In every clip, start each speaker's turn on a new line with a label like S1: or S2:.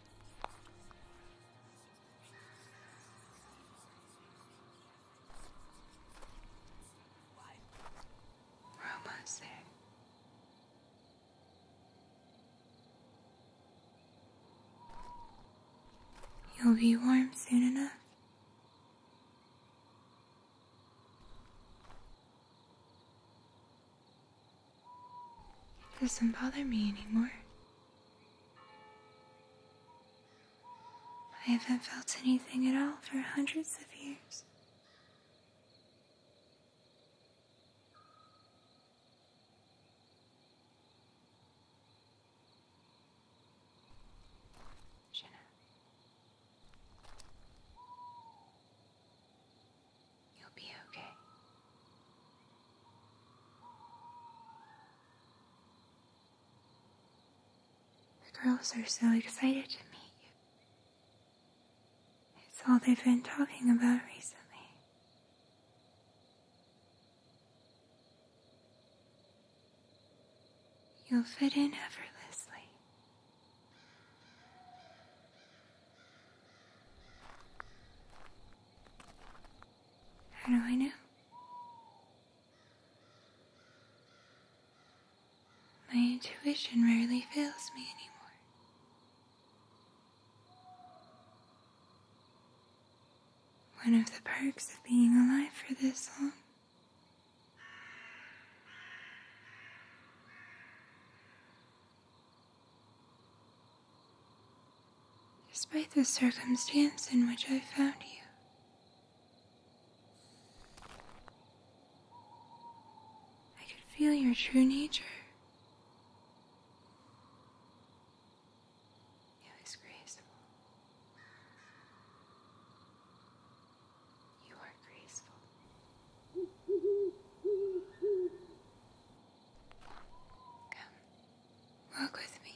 S1: we You'll be warm soon enough. It Doesn't bother me anymore. I haven't felt anything at all for hundreds of years. You'll be okay. The girls are so excited to meet you. It's all they've been talking about recently. You'll fit in effortlessly. How do I know? My intuition rarely fails me anymore. One of the perks of being alive for this long. Despite the circumstance in which I found you, I could feel your true nature. It was graceful, you are graceful. Come, walk with me.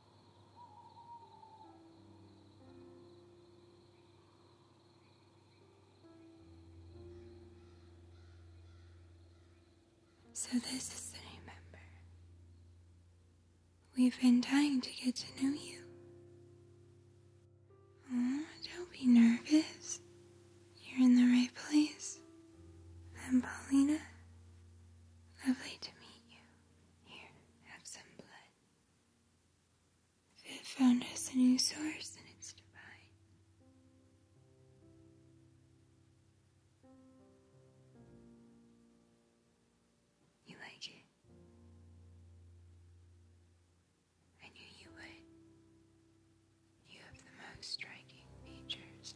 S1: So, this is the new member. We've been dying to get to know you. don't be nervous. You're in the right place. And Paulina. Lovely to meet you. Here, have some blood. They have found us a new source and it's divine. You like it? I knew you would. You have the most striking features.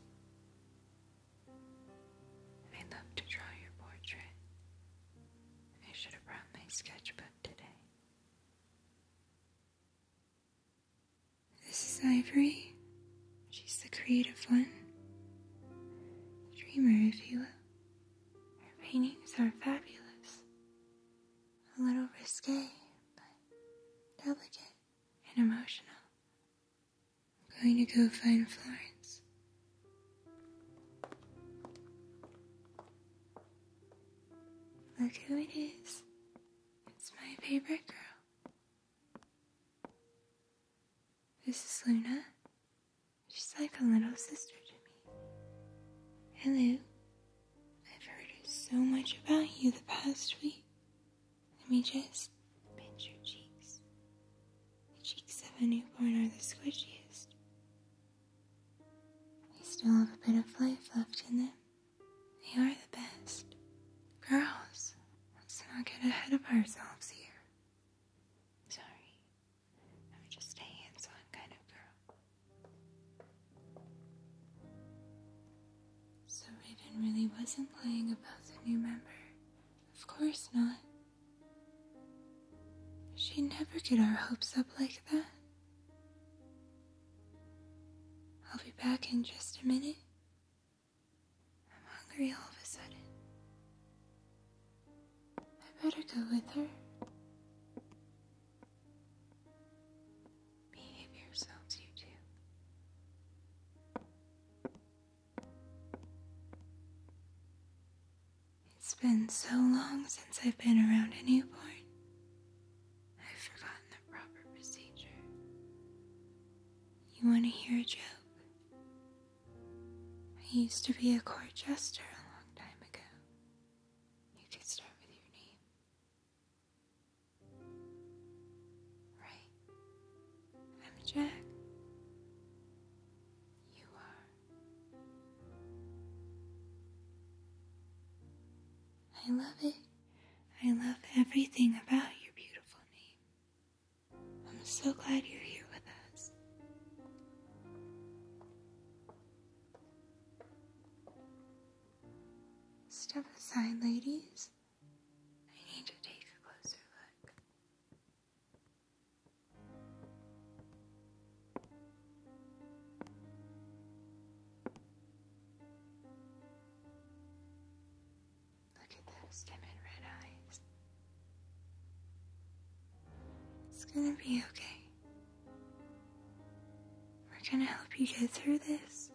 S1: I love to draw your portrait. I should have brought my sketchbook today. This is Ivory. She's the creative one. the Dreamer, if you will. Her paintings are fabulous. A little risque, but delicate and emotional. I'm going to go find Florence. Look who it is. It's my favorite girl. This is Luna. She's like a little sister to me. Hello. I've heard so much about you the past week. Let me just pinch your cheeks. The cheeks of a newborn are the squishiest. They still have a bit of life left in them. They are the best. Girls, let's not get ahead of ourselves here. Sorry, I'm just a hands on kind of girl. So Raven really wasn't lying about the new member. Of course not she never get our hopes up like that. I'll be back in just a minute. I'm hungry all of a sudden. I better go with her. Behave yourselves, you two. It's been so long since I've been around a newborn. I've forgotten the proper procedure. You want to hear a joke? I used to be a court jester a long time ago. You could start with your name. Right. I'm Jack. You are. I love it. I love everything about your beautiful name. I'm so glad you're here with us. Step aside, ladies. I need to take a closer look. Look at those timid red eyes. It's gonna be okay. We're gonna help you get through this.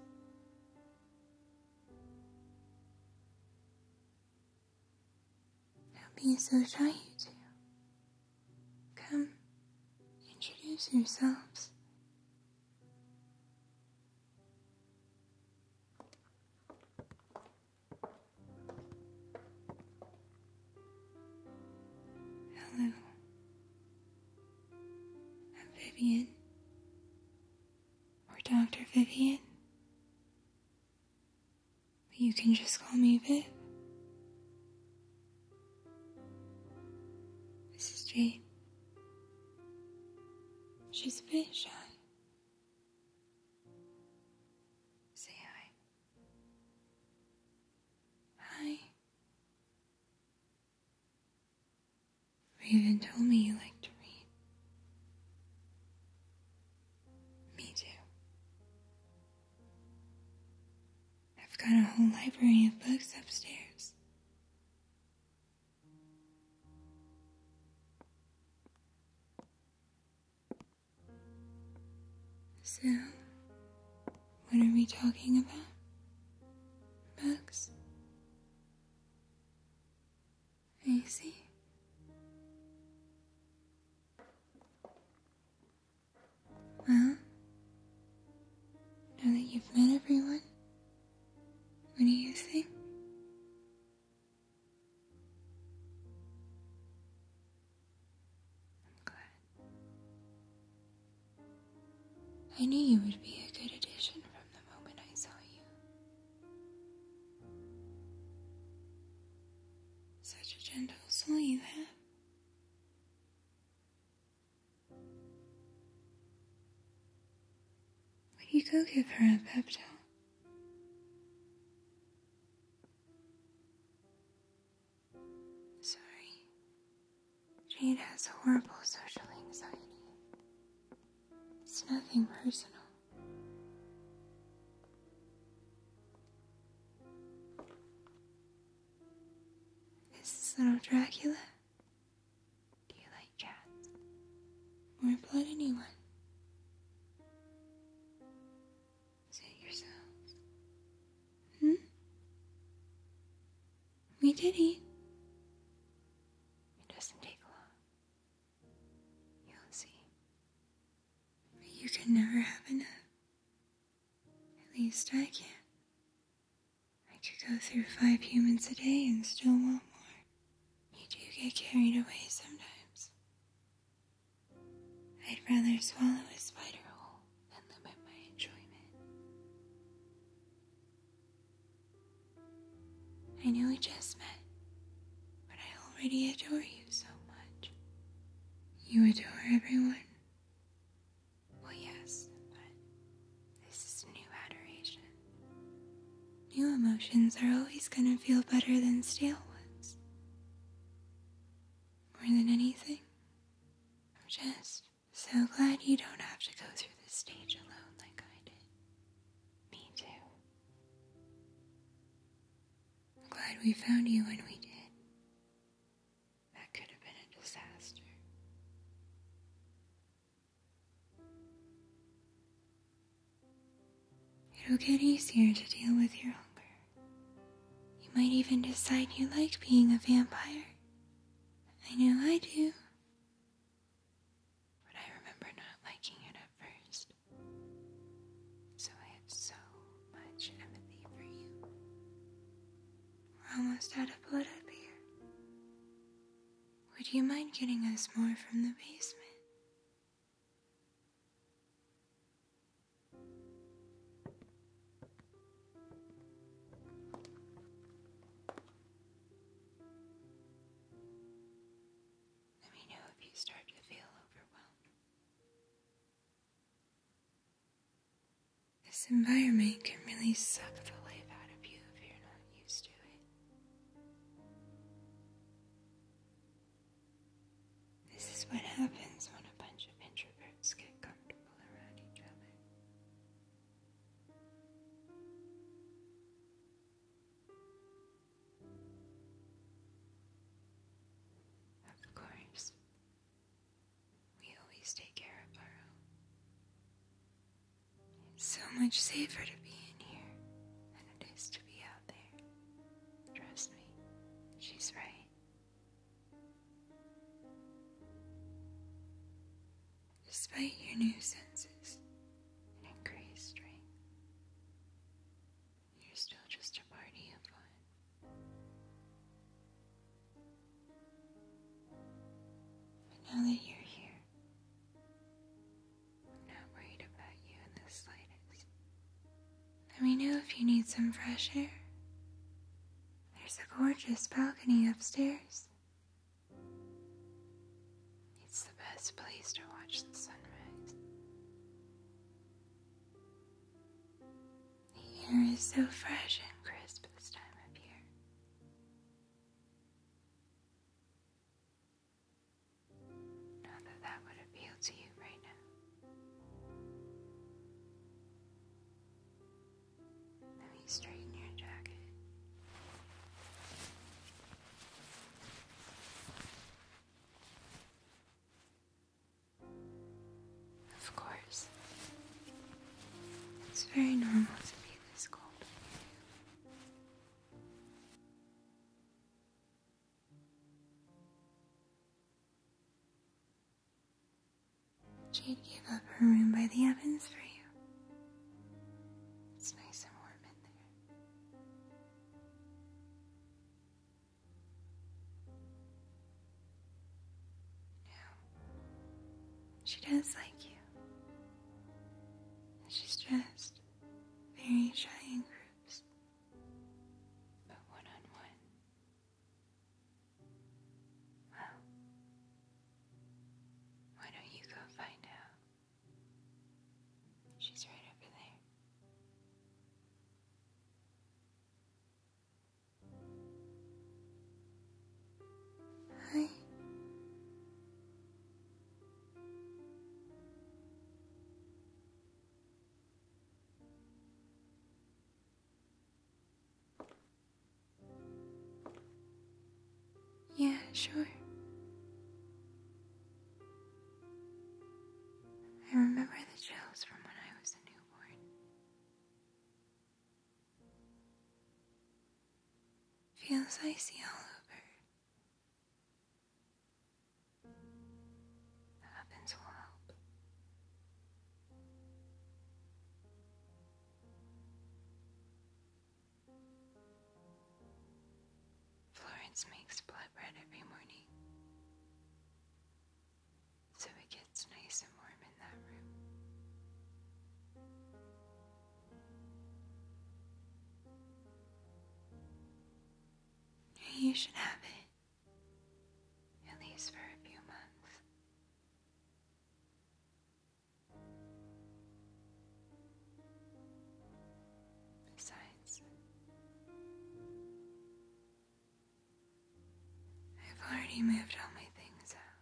S1: Don't be so shy, Come, introduce yourselves. Hello. Vivian. Or Dr. Vivian. But you can just call me Viv. Mrs. is She's a bit Say hi. Hi. Raven told me you like to read. Me too. I've got a whole library of books upstairs. So, what are we talking about? Books? Easy. Well, now that you've met everyone, what do you think? I'm glad. I knew you would be a good addition from the moment I saw you. Such a gentle soul you have. Would you go give her a pep talk? Sorry. Jade has horrible social anxiety. It's nothing personal. This is little Dracula. Do you like cats? Or blood anyone? Is yourselves? Hmm? We did eat. It doesn't take long. You'll see. you can never have enough. At least I can. not I could go through five humans a day and still want more. You do get carried away sometimes. I'd rather swallow a spider whole than limit my enjoyment. I know we just met, but I already adore you so much. You adore everyone. Well, yes, but this is new adoration. New emotions are always gonna feel better than stale ones. More than anything, I'm just so glad you don't have to go through this stage alone like I did. Me too. I'm glad we found you when we did. That could have been a disaster. It'll get easier to deal with your hunger. You might even decide you like being a vampire. I know I do. But I remember not liking it at first. So I have so much empathy for you. we almost out of blood up here. Would you mind getting us more from the basement? Let me know if you start to feel overwhelmed. This environment can really suck the life out of you if you're not used to it. This is what happens when a bunch of introverts get comfortable around each other. Of course, we always take care of our own. It's so much safer to be in here than it is to be out there. Trust me, she's right despite your new senses and increased strength. You're still just a party of one. But now that you're here, I'm not worried about you in the slightest. Let me know if you need some fresh air. There's a gorgeous balcony upstairs. It's the best place to watch the sunrise. The air is so fresh and crisp this time of year. Not that that would appeal to you right now. Let me straighten your jacket. Of course, it's very normal to be this cold. Jade gave up her room by the ovens for you. It's nice and warm in there. Yeah. She does like you. She's just very shy in groups, but one on one. Wow. Why don't you go find out? She's right over there. Hi. Yeah, sure. I remember the chills from when I was a newborn. Feels icy all over. The ovens will help. Florence makes flatbread every morning, so it gets nice and warm in that room. You should have it, at least for a few months. Besides, I've already moved all my things out.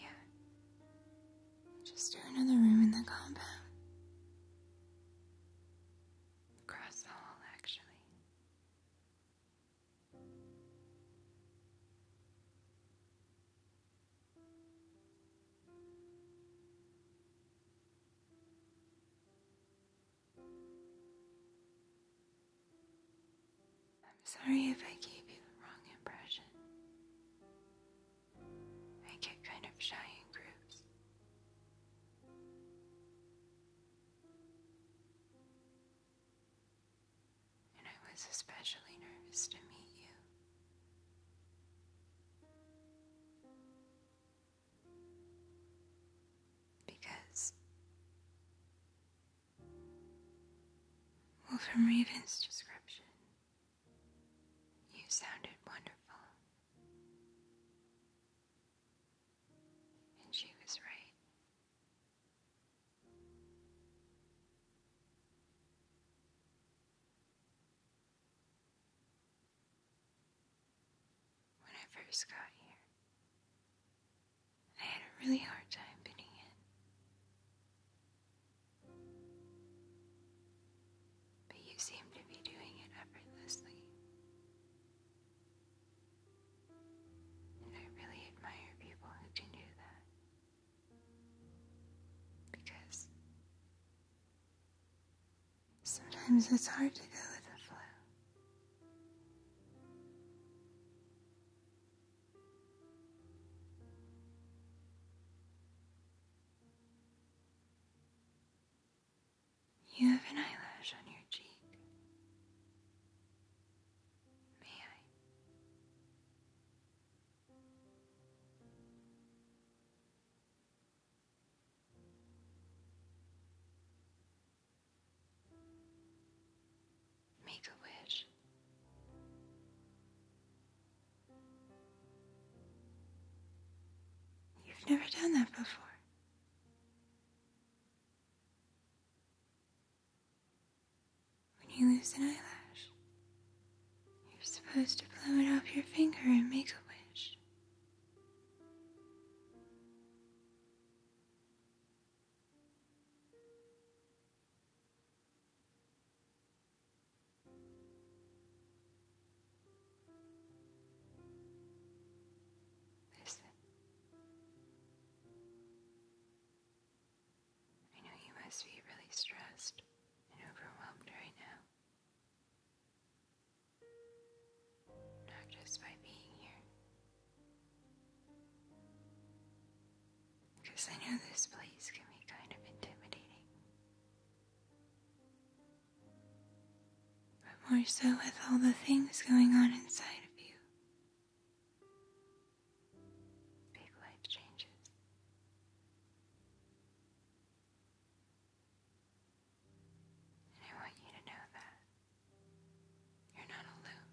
S1: Yeah. Just do another room in the compound. Across hall, actually. I'm Sorry if I gave you the wrong impression. I get kind of shy in groups. And I was especially nervous to meet you. Because well, from Raven's description, you sounded wonderful. And she was right. When I first got here, I had a really hard time fitting in. But you seem to be doing it effortlessly. And I really admire people who do that. Because sometimes it's hard to go with the flow. You have an eyelash on your cheek. May I? Make a wish. You've never done that before. When you lose an eyelash, you're supposed to blow it off your finger and make a wish. Listen. I know you must be really stressed and overwhelmed right now. Not just by being here. Because I know this place can be kind of intimidating but more so with all the things going on inside of you. Big life changes. And I want you to know that you're not alone.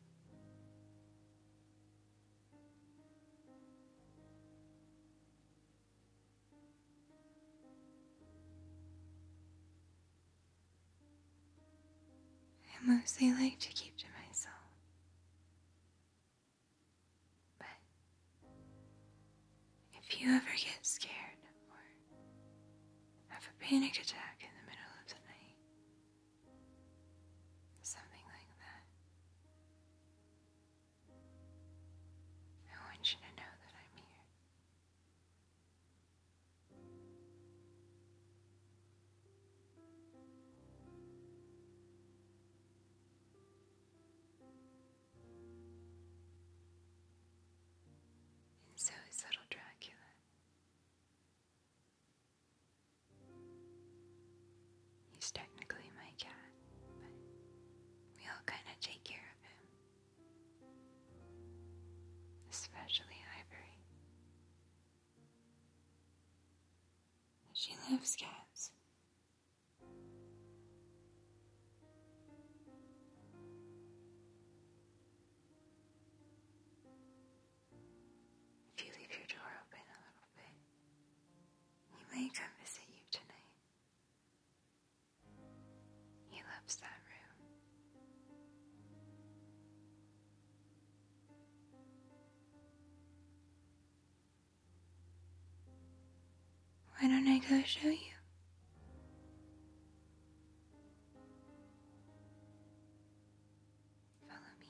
S1: I mostly like to keep to myself. But if you ever get scared or have a panic attack in the middle of the night, something like that, I want you to know that I'm here. And so is little Dracula. He's technically my cat, but we all kind of take care of him especially Ivory. She loves cats. If you leave your door open a little bit, he may come visit you tonight. He loves that room. Why don't I go show you? Follow me.